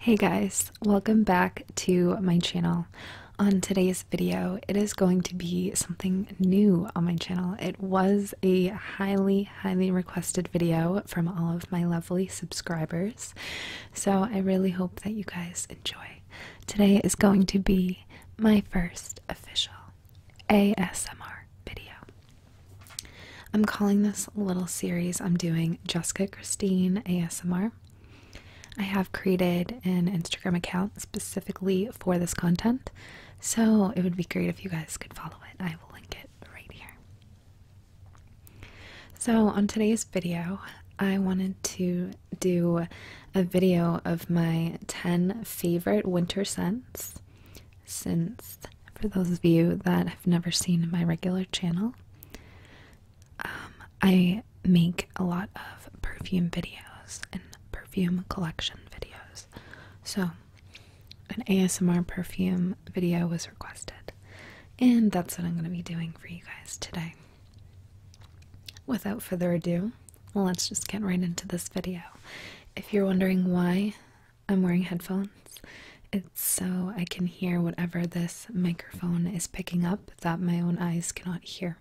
Hey guys, welcome back to my channel. On today's video, it is going to be something new on my channel. It was a highly, highly requested video from all of my lovely subscribers, so I really hope that you guys enjoy. Today is going to be my first official ASMR video. I'm calling this little series I'm doing Jessica Christine ASMR. I have created an Instagram account specifically for this content, so it would be great if you guys could follow it. I will link it right here. So, on today's video, I wanted to do a video of my 10 favorite winter scents. Since, for those of you that have never seen my regular channel, um, I make a lot of perfume videos and perfume collection videos. So, an ASMR perfume video was requested, and that's what I'm going to be doing for you guys today. Without further ado, let's just get right into this video. If you're wondering why I'm wearing headphones, it's so I can hear whatever this microphone is picking up that my own eyes cannot hear.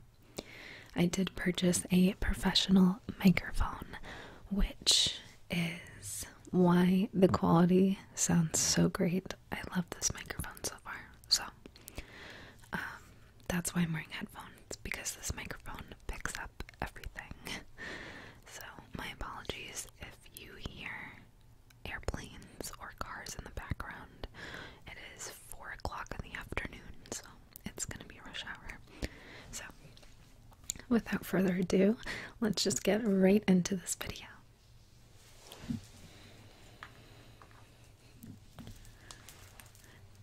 I did purchase a professional microphone, which is why the quality sounds so great. I love this microphone so far. So, um, that's why I'm wearing headphones because this microphone picks up everything. So, my apologies if you hear airplanes or cars in the background. It is 4 o'clock in the afternoon, so it's gonna be rush hour. So, without further ado, let's just get right into this video.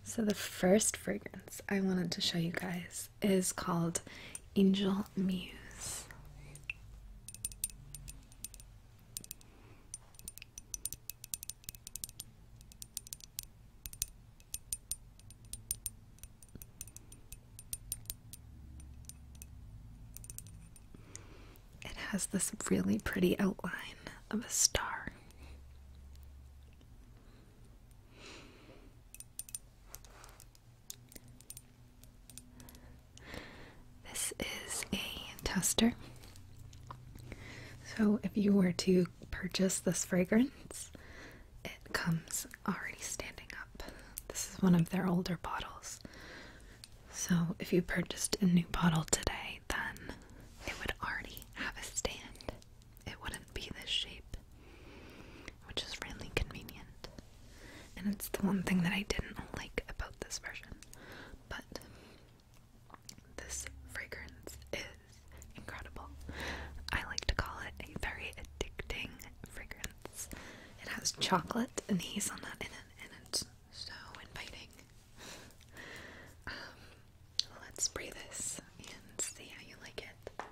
So, the first fragrance I wanted to show you guys is called Angel Muse. It has this really pretty outline of a star. This is a tester. So, if you were to purchase this fragrance, it comes already standing up. This is one of their older bottles. So, if you purchased a new bottle today, then it would already have a stand. It wouldn't be this shape, which is really convenient. And it's the one thing that I didn't like about this version. But this fragrance is incredible. I like to call it a very addicting fragrance. It has chocolate and hazelnut in it, and it's so inviting. Um, let's spray this and see how you like it.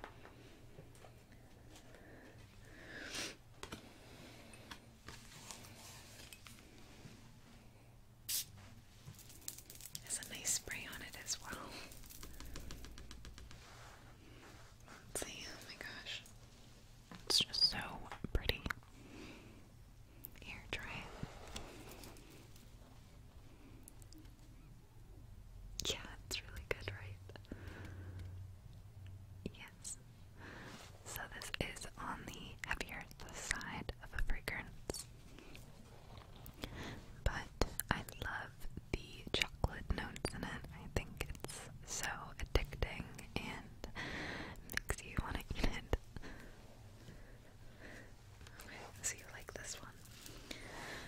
There's a nice spray on it as well. see, oh my gosh. It's just so pretty. Here, try Yeah, it's really good, right? Yes. So this is on the heavier side of a fragrance. But I love the chocolate notes in it. I think it's so addicting and makes you want to eat it. Okay, so you like this one.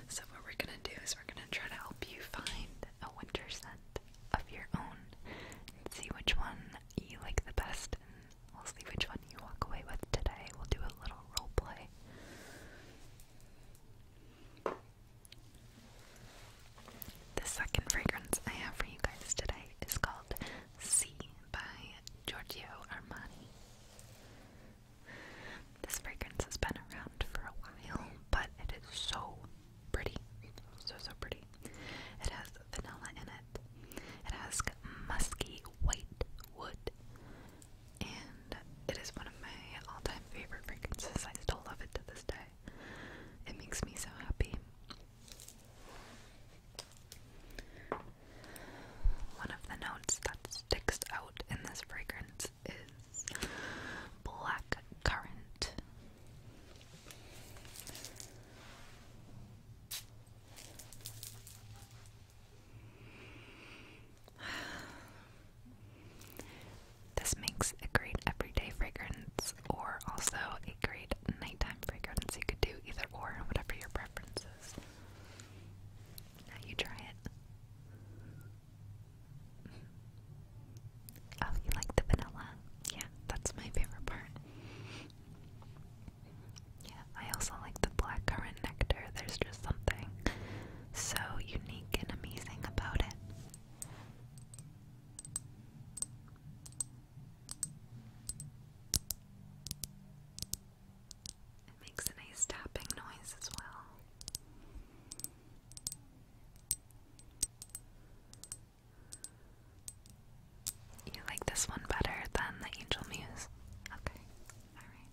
So what we're gonna do is we're gonna try to help you find a winter scent of your own and see which one you like the best, and we'll see which one you walk away with today. We'll do a little role play. The second fragrance I have for you guys today is called Sea by Giorgio Armani. This fragrance has been around for a while, but it is so pretty. So, so pretty. It has vanilla in it. It has musky white wood. And it is one of my all time favorite fragrances. I still love it to this day. It makes me so happy. One of the notes that sticks out in this fragrance is black currant. This makes a great everyday fragrance or also a great nighttime fragrance. You could do either or, whatever your preference is. Now you try it. Oh, you like the vanilla? Yeah, that's my favorite part. Yeah, I also like the blackcurrant nectar. There's just something so unique and amazing about it. It makes a nice tapping noise as well. You like this one better than the Angel Muse? Okay, alright.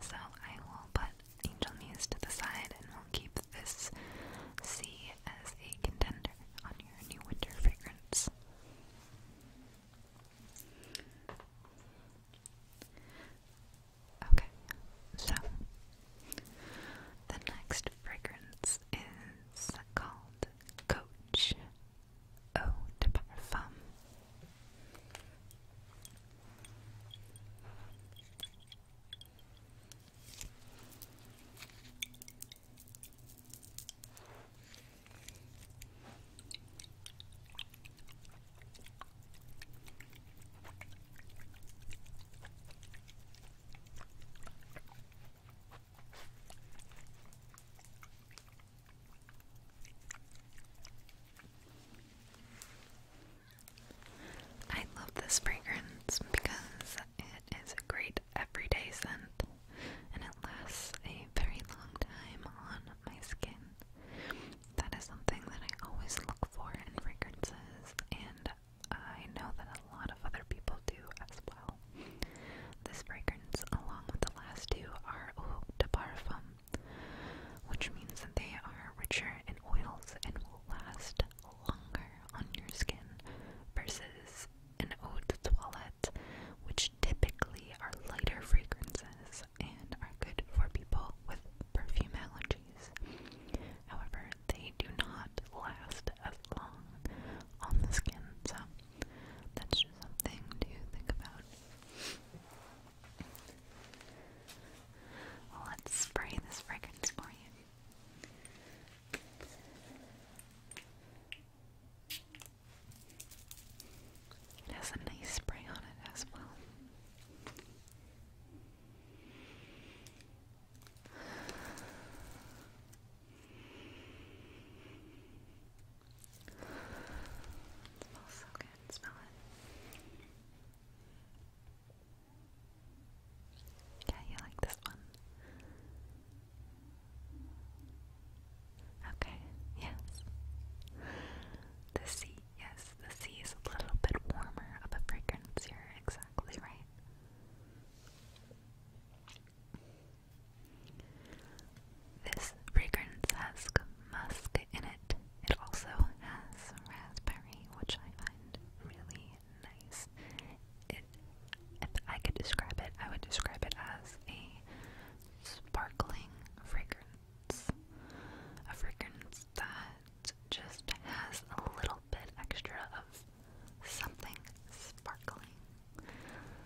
So I will put Angel Muse to the side and we'll keep this C as a contender on your new winter fragrance. Okay, so the next fragrance is called Coach Eau de Parfum. I love this fragrance because it is a great everyday scent and it lasts a very long time on my skin. That is something that I always look for in fragrances, and I know that a lot of other people do as well. This fragrance, along with the last two, are eau parfum, which means that they are richer in oils and will last longer on your skin versus an eau de toilette, which typically are lighter fragrances and are good for people with perfume allergies. However, they do not last as long on the skin, so that's just something to think about. Let's spray this fragrance for you. It has a nice spray on it as well. It smells so good. Smell it. Yeah, you like this one. Okay, yes. The sea, yes, the sea is a little bit warmer of a fragrance. you exactly right. This fragrance has musk in it. It also has raspberry, which I find really nice. if I could describe it, I would describe it as a sparkling fragrance. A fragrance that just has a little bit extra of something sparkling,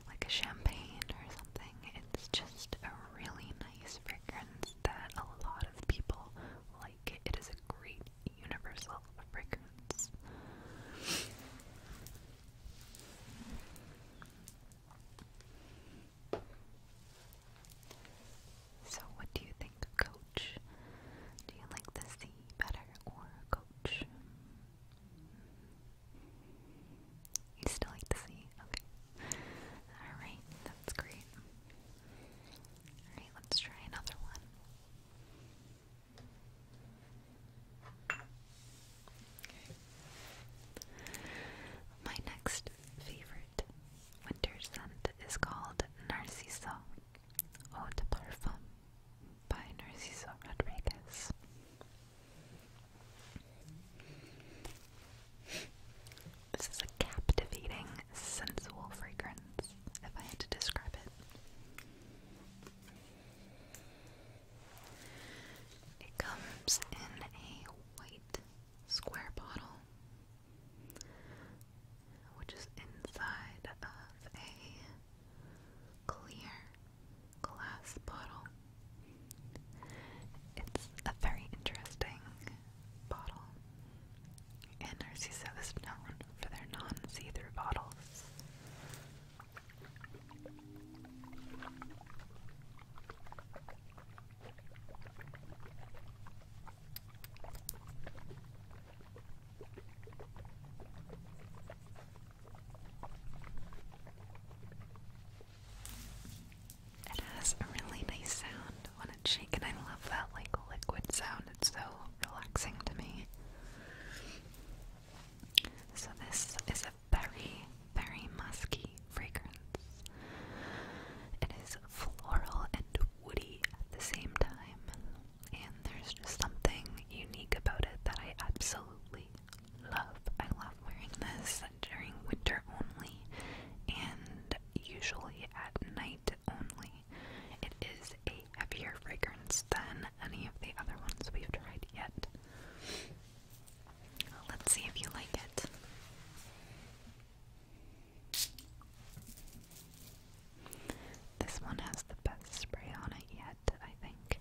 like a champagne or something. It's just a really nice fragrance that a lot of people like. It is a great universal fragrance. So, what do you think Coach? Do you like the sea better or Coach? You still like the sea? Okay. Alright, that's great. Alright, let's try another one. My next favorite winter scent is called Narciso Eau Parfum by Narciso Rodriguez. This is a captivating, sensual fragrance, if I had to describe it. It comes in a white square bottle, which is inside of a clear glass bottle. It's a very interesting bottle, and is known for their non see bottles. It has a really nice sound when it's shaken. I love that like liquid sound. It's so relaxing to me. So this is a very, very musky fragrance. It is floral and woody at the same time. And there's just something unique about it that I absolutely love. I love wearing this during winter only and usually at night only. It is a heavier fragrance than any of the other ones we've tried yet. Let's see if you like it. This one has the best spray on it yet red, I think.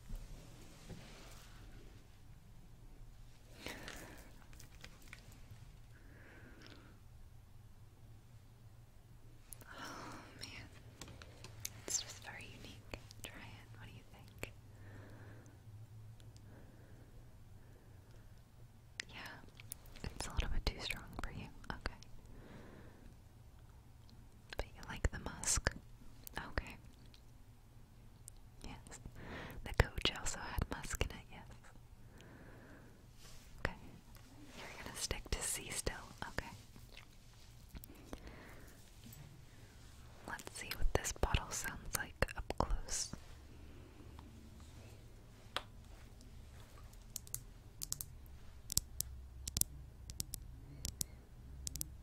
Oh man, it's just very unique. Try it. What do you think? Yeah, it's a little bit too strong for you. Okay. But you like the musk. Okay. Yes. The coach also had Musk in it, yes. Okay. You're gonna stick to C still, okay. Let's see what this bottle sounds like up close.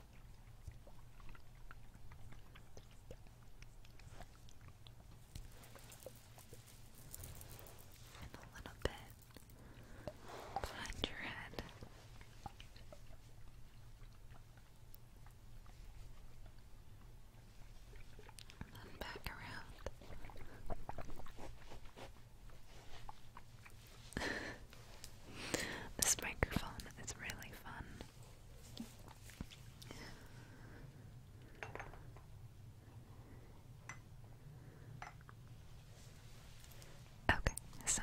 And a little bit behind your head. then back around. this microphone is really fun. Okay, so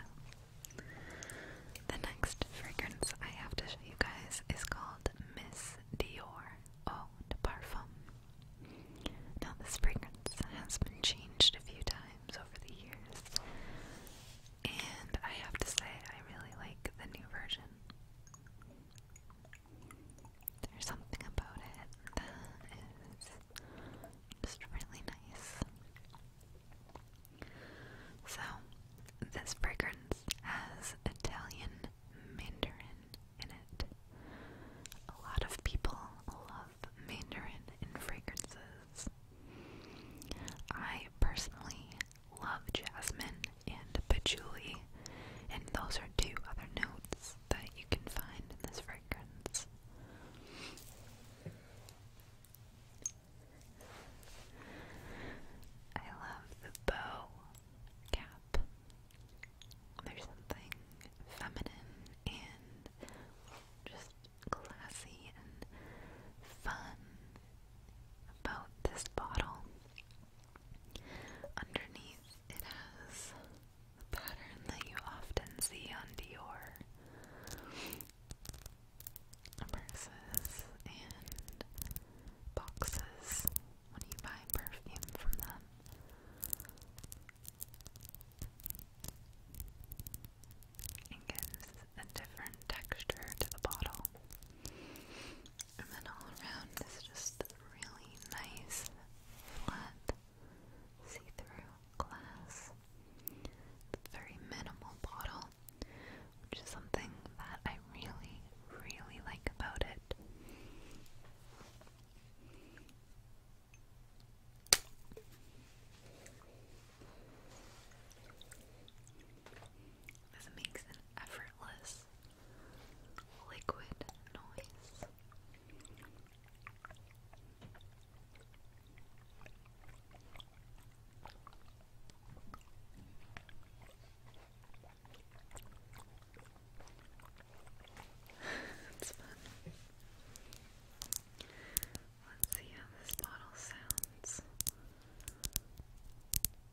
the next fragrance I have to show you guys is called Miss Dior Eau de Parfum. Now, this fragrance has been changed a few times over the years, and I have to say, I really like the new version. There's something about it that is just really nice. So, this fragrance has Italian mandarin in it. A lot of people love mandarin in fragrances. I personally love jasmine and patchouli, and those are two other notes that you can find in this fragrance. I love the bow cap. There's something feminine and just classy and fun about this bottle. Underneath, it has the pattern that you often see on Dior purses and boxes when you buy perfume from them. It gives a different texture to the bottle. And then all around is just really nice, flat, see through glass. It's a very minimal bottle, which is something that I really, really like about it. This makes an effortless liquid noise. it's fun. Let's see how this bottle sounds.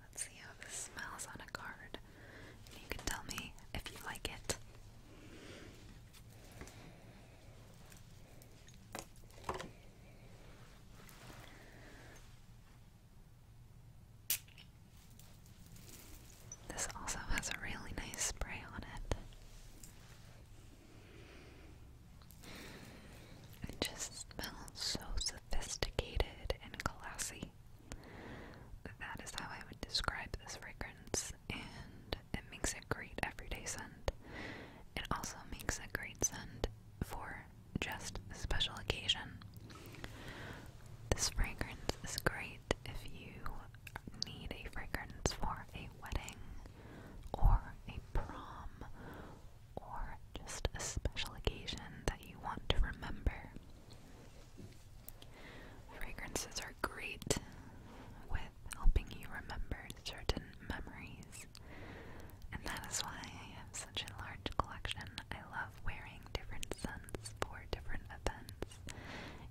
Let's see how this smells on a card. you can tell me if you like it. This also has a really nice spray on it. It just smells so sophisticated and classy. That is how I would describe this fragrance, and it makes a great everyday scent. It also makes a great scent for just a special occasion. This fragrance is great if you need a fragrance for a wedding or a prom or just a special occasion that you want to remember. Fragrances are great with helping you remember certain memories, and that is why I have such a large collection. I love wearing different scents for different events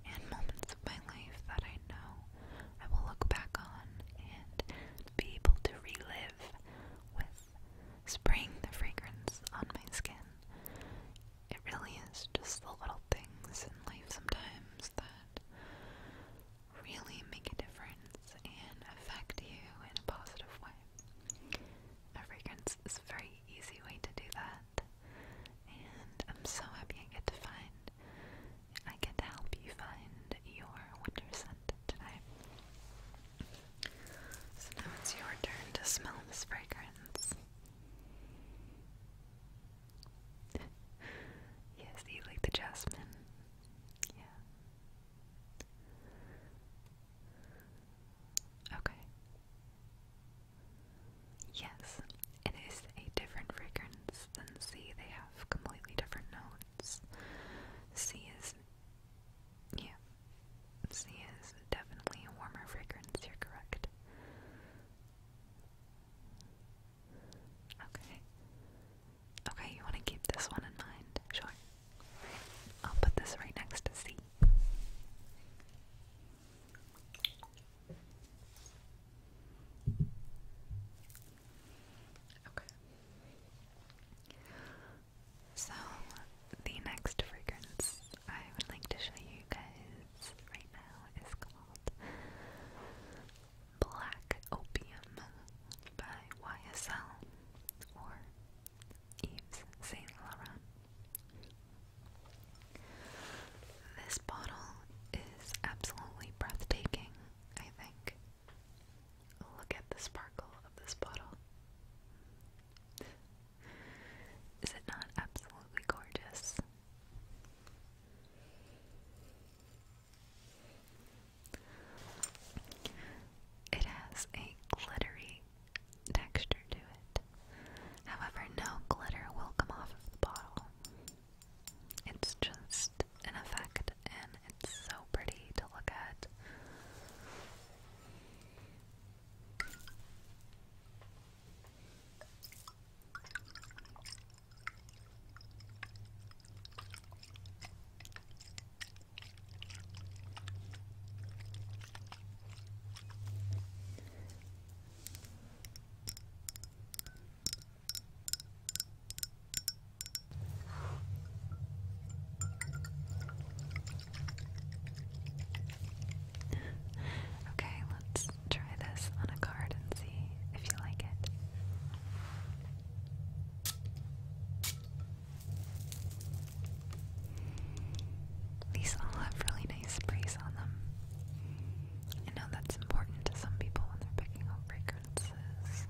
and moments of my life that I know I will look back on and be able to relive with spraying the fragrance on my skin. It really is just the little things in life sometimes that really make a difference and affect you in a positive way. fragrance is a very easy way to do that, and I'm so happy I get to find, I get to help you find your winter scent So now it's your turn to smell this fragrance. yes, you like the jasmine? Yeah. Okay. Yes, it is a different fragrance than C. They have completely different notes. C is yeah, C is definitely a warmer fragrance, you're correct. Okay. Okay, you want to keep this one in mind? Sure. I'll put this right next to C. Okay. So, the next fragrance I would like to show you guys right now is called Black Opium by YSL or Yves Saint Laurent. This bottle is absolutely breathtaking, I think. Look at the sparkle of this bottle. Is it not absolutely gorgeous? It has a glittery texture to it. However, no glitter will come off of the bottle. It's just an effect and it's so pretty to look at okay, let's try this on a card and see if you like it. These all have really nice sprays on them. I know that's important to some people when they're picking out fragrances.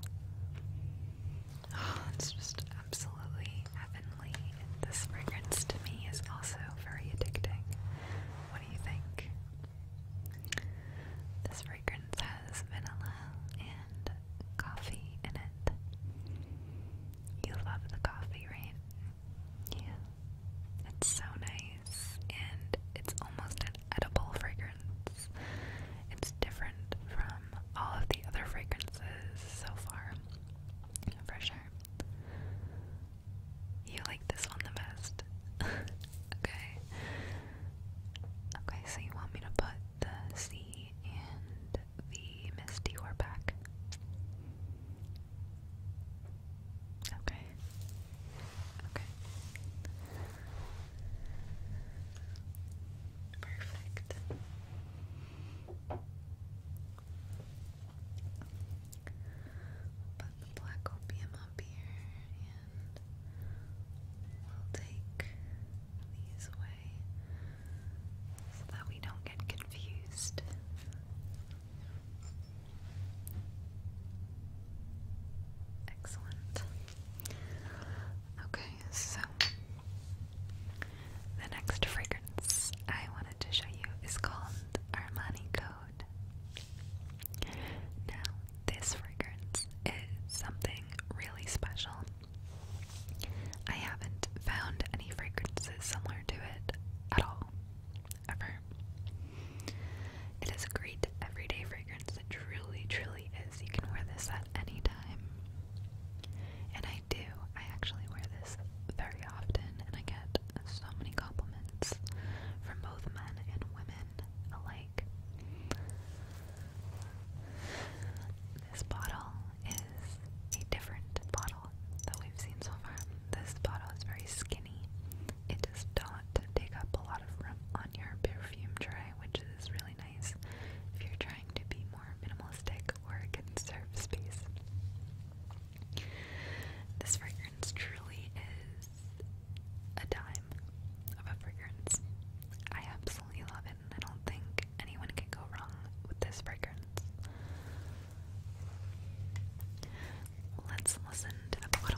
it's just absolutely heavenly. And this fragrance to me is also very addicting. What do you think? This fragrance has vanilla and coffee in it. You love the coffee, right? Yeah. It's so nice and it's almost an edible fragrance. It's different from all of the other fragrances so far, for sure. You like this one the best. okay. Okay, so you want me to put the sea and the misty or back? Okay. Okay. Perfect. Put the black opium up here and we'll take these away so that we don't get confused. Excellent. Okay, so the next fragrance I wanted to show you is called Armani Code. Now, this fragrance is something really special. I haven't found any fragrances similar to it at all, ever. It is a great everyday fragrance truly, truly is. You can wear this at any time. And I do. I actually wear this very often, and I get so many compliments from both men and women alike. This bottle is a different bottle that we've seen so far. This bottle is very skinny. It does not take up a lot of room on your perfume tray, which is really nice if you're trying to be more minimalistic or conserve space. This fragrance truly is a dime of a fragrance. I absolutely love it, I don't think anyone can go wrong with this fragrance. Let's listen to the bottle.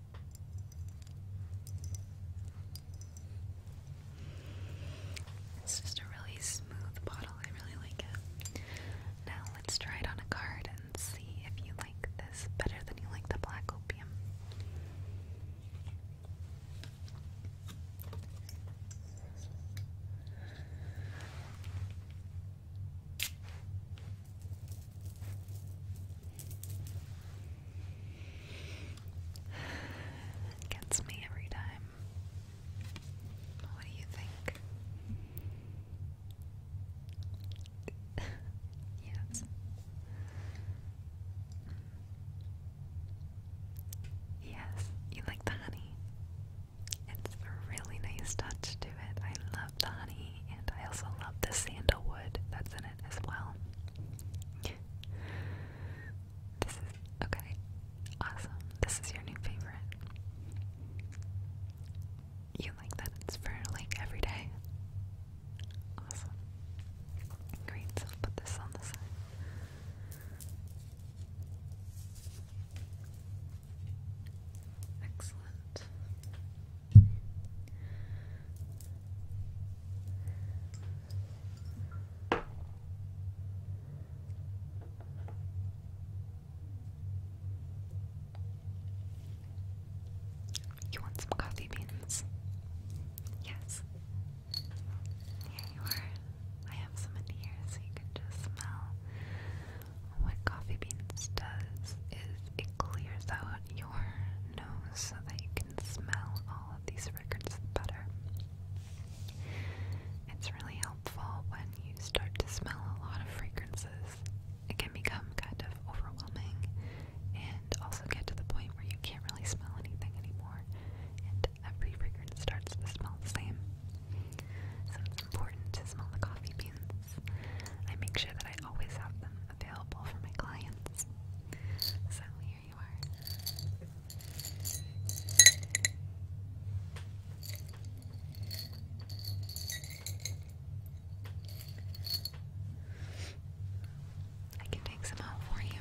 It's just a really smooth bottle. I really like it. Now let's try it on a card and see if you like this better than you like the black opium. It gets me every time. What do you think? yes. Yes, you like the honey. It's a really nice touch to it. I the honey, and I also love the sandalwood that's in it as well. this is okay, awesome. This is your new favorite. You like that it's for like every day. Awesome. Great, so put this on the side. Excellent. You want some coffee beans? Yes. Here you are. I have some in here so you can just smell. What coffee beans does is it clears out your nose so that you can smell all of these records better. It's really helpful when you start to smell a lot of fragrances. It can become kind of overwhelming and also get to the point where you can't really smell anything anymore, and every fragrance starts to smell the same. So it's important to smell the coffee beans. I make sure that I always have them available for my clients. So here you are. I can take some out for you.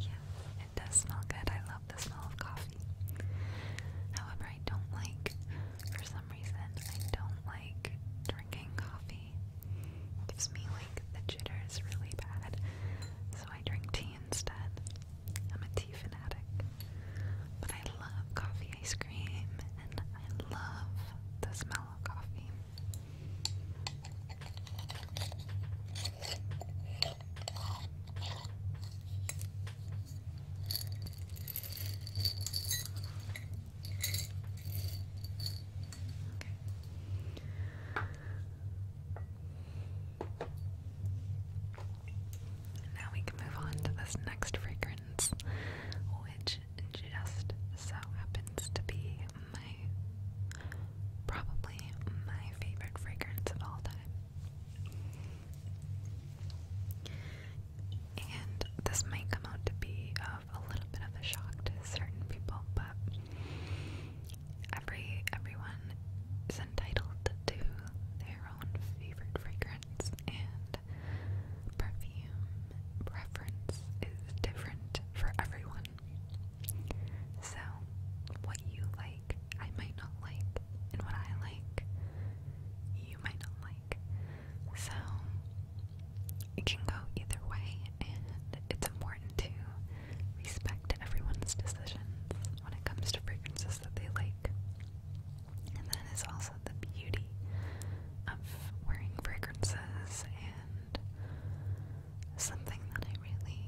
yeah, it does smell good. I love the smell of coffee. However, I don't like, for some reason, I don't like drinking coffee. gives me like the jitters really bad. So I drink tea instead. I'm a tea fanatic. But I love coffee ice cream and I love the smell mellow coffee. Now we can move on to this next fragrance, which which just so happens to be my probably my favorite fragrance of all time. And this might come out to be of a little bit of a shock to certain people, but every everyone is entitled to their own favorite fragrance and and perfume preference is different for everyone. So, what you like, I might not like, and what I like, you might not like. So, it can go either way, and it's important to respect everyone's decisions when it comes to fragrances that they like. And that is all also the beauty of wearing fragrances and something that I really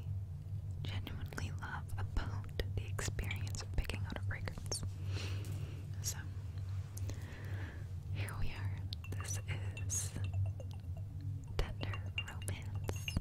genuinely love about the experience of picking out a fragrance. So, here we are. This is Tender Romance.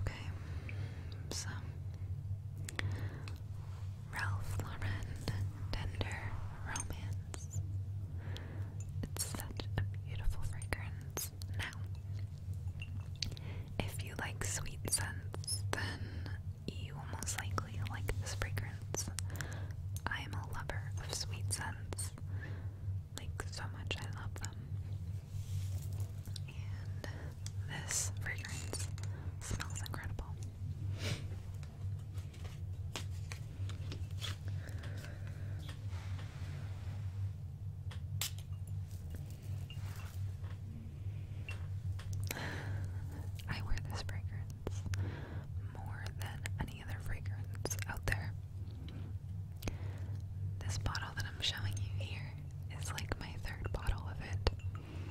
Okay, so Ralph Lauren Tender Romance. It's such a beautiful fragrance now. If you like sweet scents, then you will most likely like this fragrance. I am a lover of sweet scents. Like, so much, I love them. And this fragrance smells incredible. I wear this fragrance more than any other fragrance out there. This bottle that I'm showing you here is like my third bottle of it.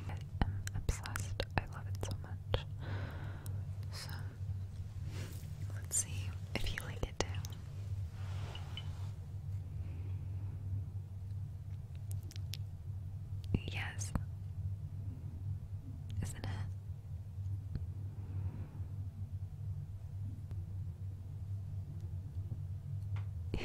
I am obsessed. I love it so much. So, let's see if you like it. Yes. Isn't it? yeah.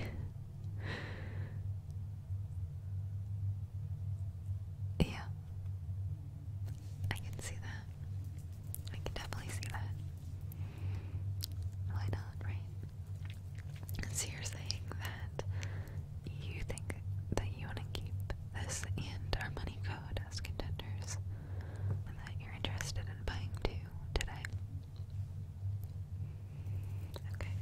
I can see that. I can definitely see that. Why not, right? So you're saying that you think that you want to keep this and our money code as contenders, and that you're interested in buying two today. Okay.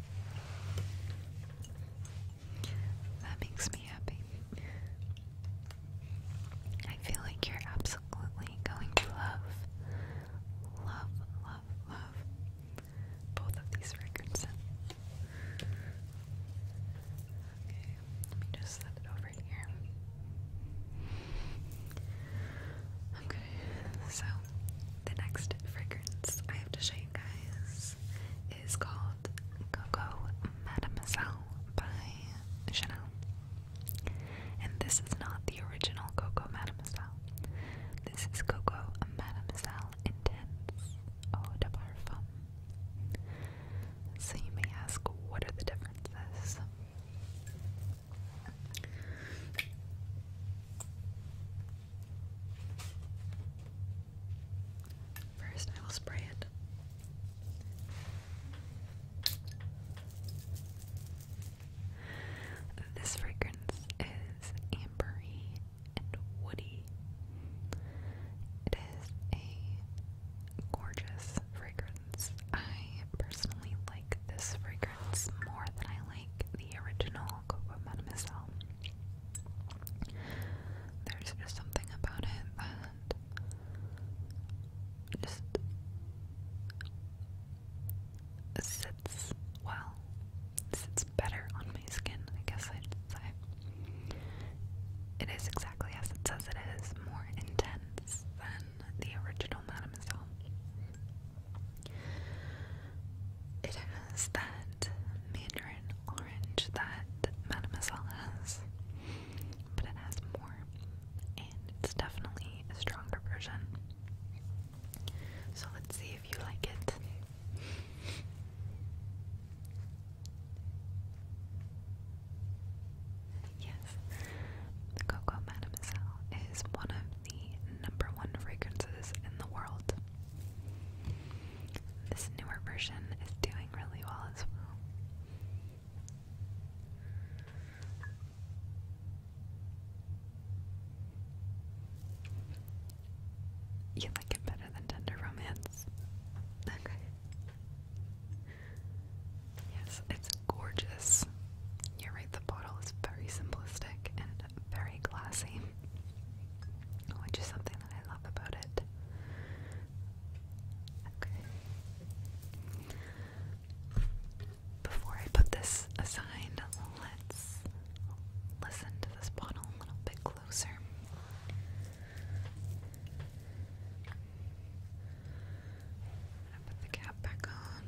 That makes me happy. I feel like you're absolutely absolutely going to love, love, love, love both of these records. Okay, let me just set it over here. Okay, so the next fragrance I have to show you guys is called Coco Mademoiselle by Chanel. And this is not the original Coco Mademoiselle. This is Coco Mademoiselle Intense Eau oh, de Parfum. So you may ask, what are the differences? First, I will spray it. This fragrance is ambery and woody. It is a gorgeous fragrance. I personally like this fragrance more than I like the original Coco Mademoiselle. There's just something about it that sits well, sits better on my skin, I guess I'd say. It is exactly as it says it is, more intense than the original Mademoiselle. It has that mandarin orange that Mademoiselle has, but it has more it's definitely a stronger version. So let's see if you like it. Yes, Coco Mademoiselle is one of the number one fragrances in the world. This newer version is doing really well as well. You like it better than Tender Romance. Okay. Yes, it's gorgeous. You're right, the bottle is very simplistic and very classy, which is something that I love about it. Okay before I put this aside, let's listen to this bottle a little bit closer. i put the cap back on.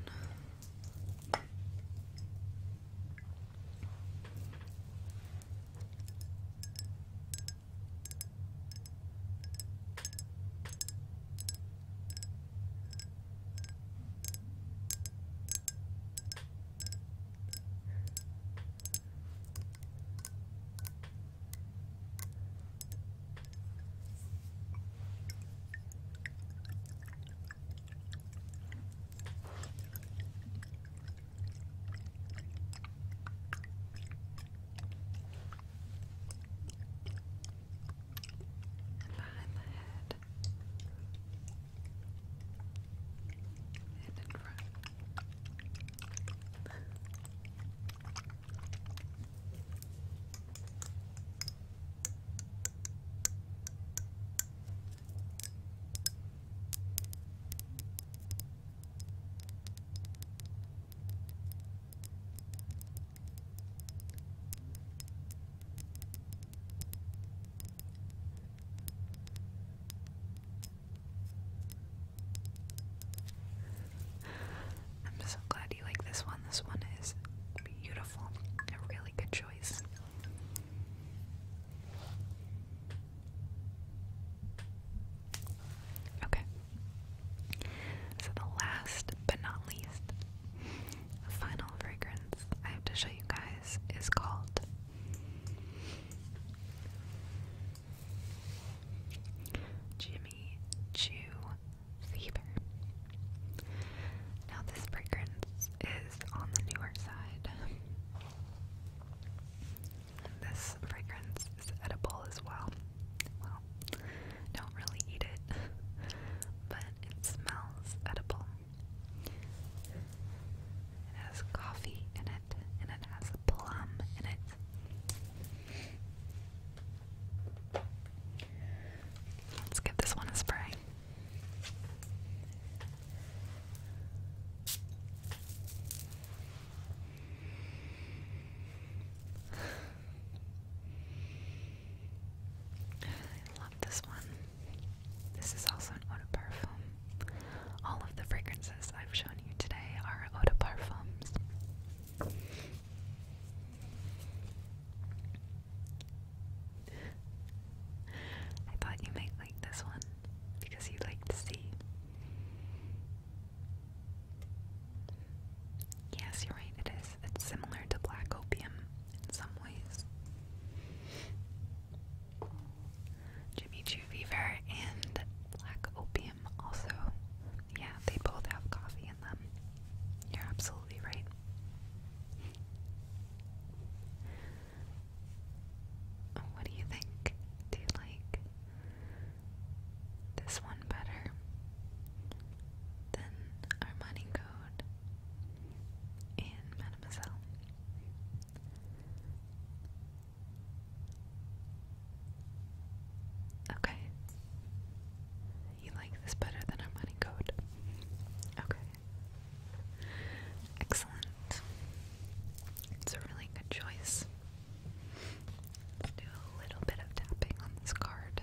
Behind the head left and in front. I'm so glad you like this one. This one is beautiful. A really good choice. Okay. So the last but not least the final fragrance I have to show you guys is called Jimmy Choo Fever. Now, this fragrance is on the newer side. This fragrance is edible as well. Well, don't really eat it, but it smells edible. It has coffee in it, and it has a plum in it. Let's give this one a spray. I love this one. This is also an eau de parfum. All of the fragrances I've shown you today are eau de parfums. I thought you might like this one because you like to see. Yes, you're right, it is. It's similar to black opium Jimmy Choo Fever and Black Opium also. Yeah, they both have coffee in them. You're absolutely right. What do you think? Do you like this one better than our money code? in Mademoiselle. Okay. You like this better than our money code. Okay. Excellent. It's a really good choice. do a little bit of tapping on this card.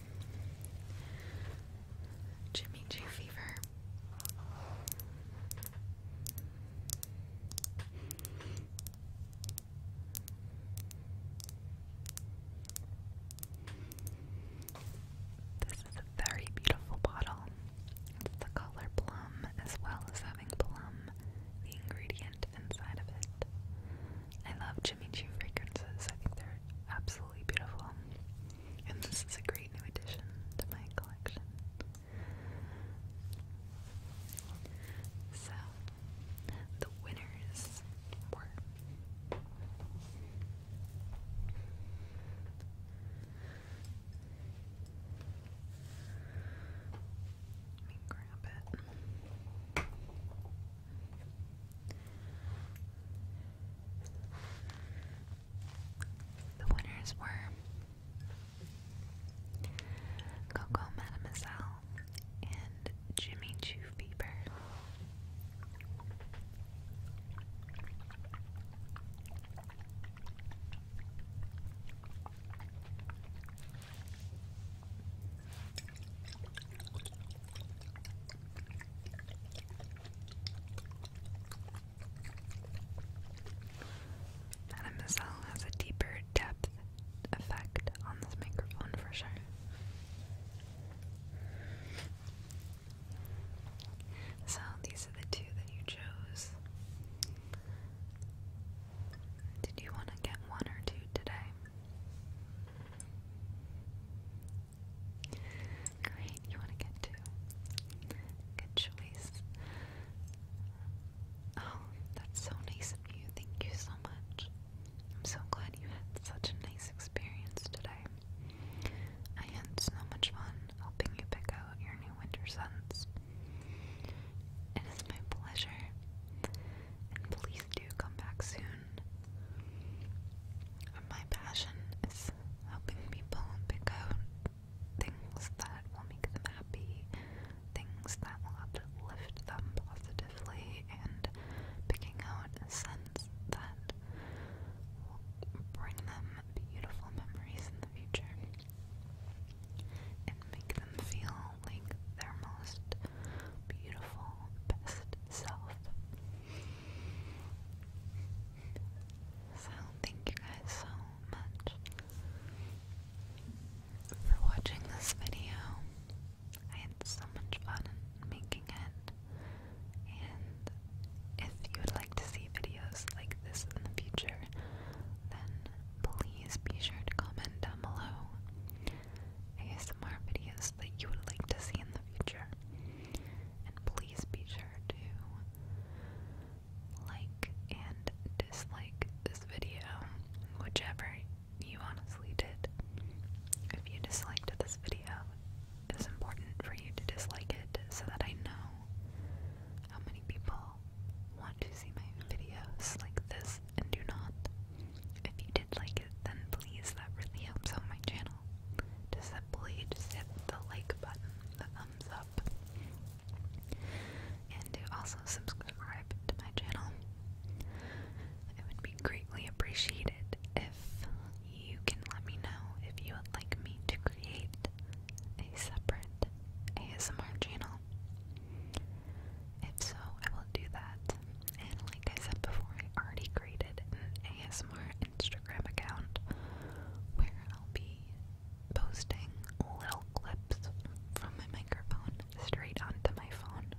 Jimmy Choo fever. This is a very beautiful bottle. It's the color plum as well as having plum, the ingredient inside of it. I love Jimmy Choo fragrances. I think they're absolutely beautiful. And this is a great new addition to my collection. So, the winners were let me grab it. The winners were Coco Mademoiselle and Jimmy Choo Bieber. Mademoiselle has a deeper depth effect on this microphone for sure. So these are the two that you chose. Did you want to get one or two today? Great, you want to get two. Good choice. Oh, that's so nice of you. Thank you so much. I'm so glad you had such a nice experience today. I had so much fun helping you pick out your new winter scents. It is my pleasure. And please do come back soon my passion is helping people pick out things that will make them happy, things that will uplift them positively, and picking out a sense that will bring them beautiful memories in the future and make them feel like their most beautiful, best self. So, thank you guys so much for watching this video. I had so much fun making it, and if you would like to see videos like this in the future, then please be sure to comment down below. ASMR videos that you would like to see in the future. And please be sure to like and dislike this video, whichever you honestly did. If you disliked this video, it is important for you to dislike it so that I know how many people want to see my videos like this and do not. If you did like it, then please, that really helps out my channel. Just simply just hit the like button, the thumbs up, and to also subscribe to my channel. It would be greatly appreciated if you can let me know if you would like me to create a separate ASMR channel. If so, I will do that. And like I said before, I already created an ASMR Instagram account where I'll be posting little clips from my microphone straight onto my phone.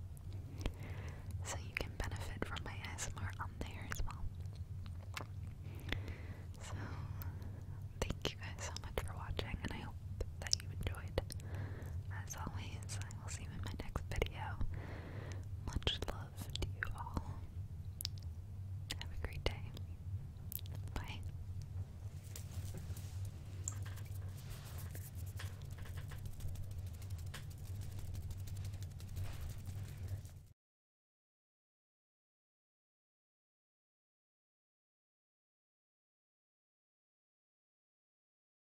So you can benefit from my ASMR on there as well. So, thank you guys so much for watching, and I hope that you enjoyed. As always, I will see you in my next video. Much love love to you all. Have a great day. Bye.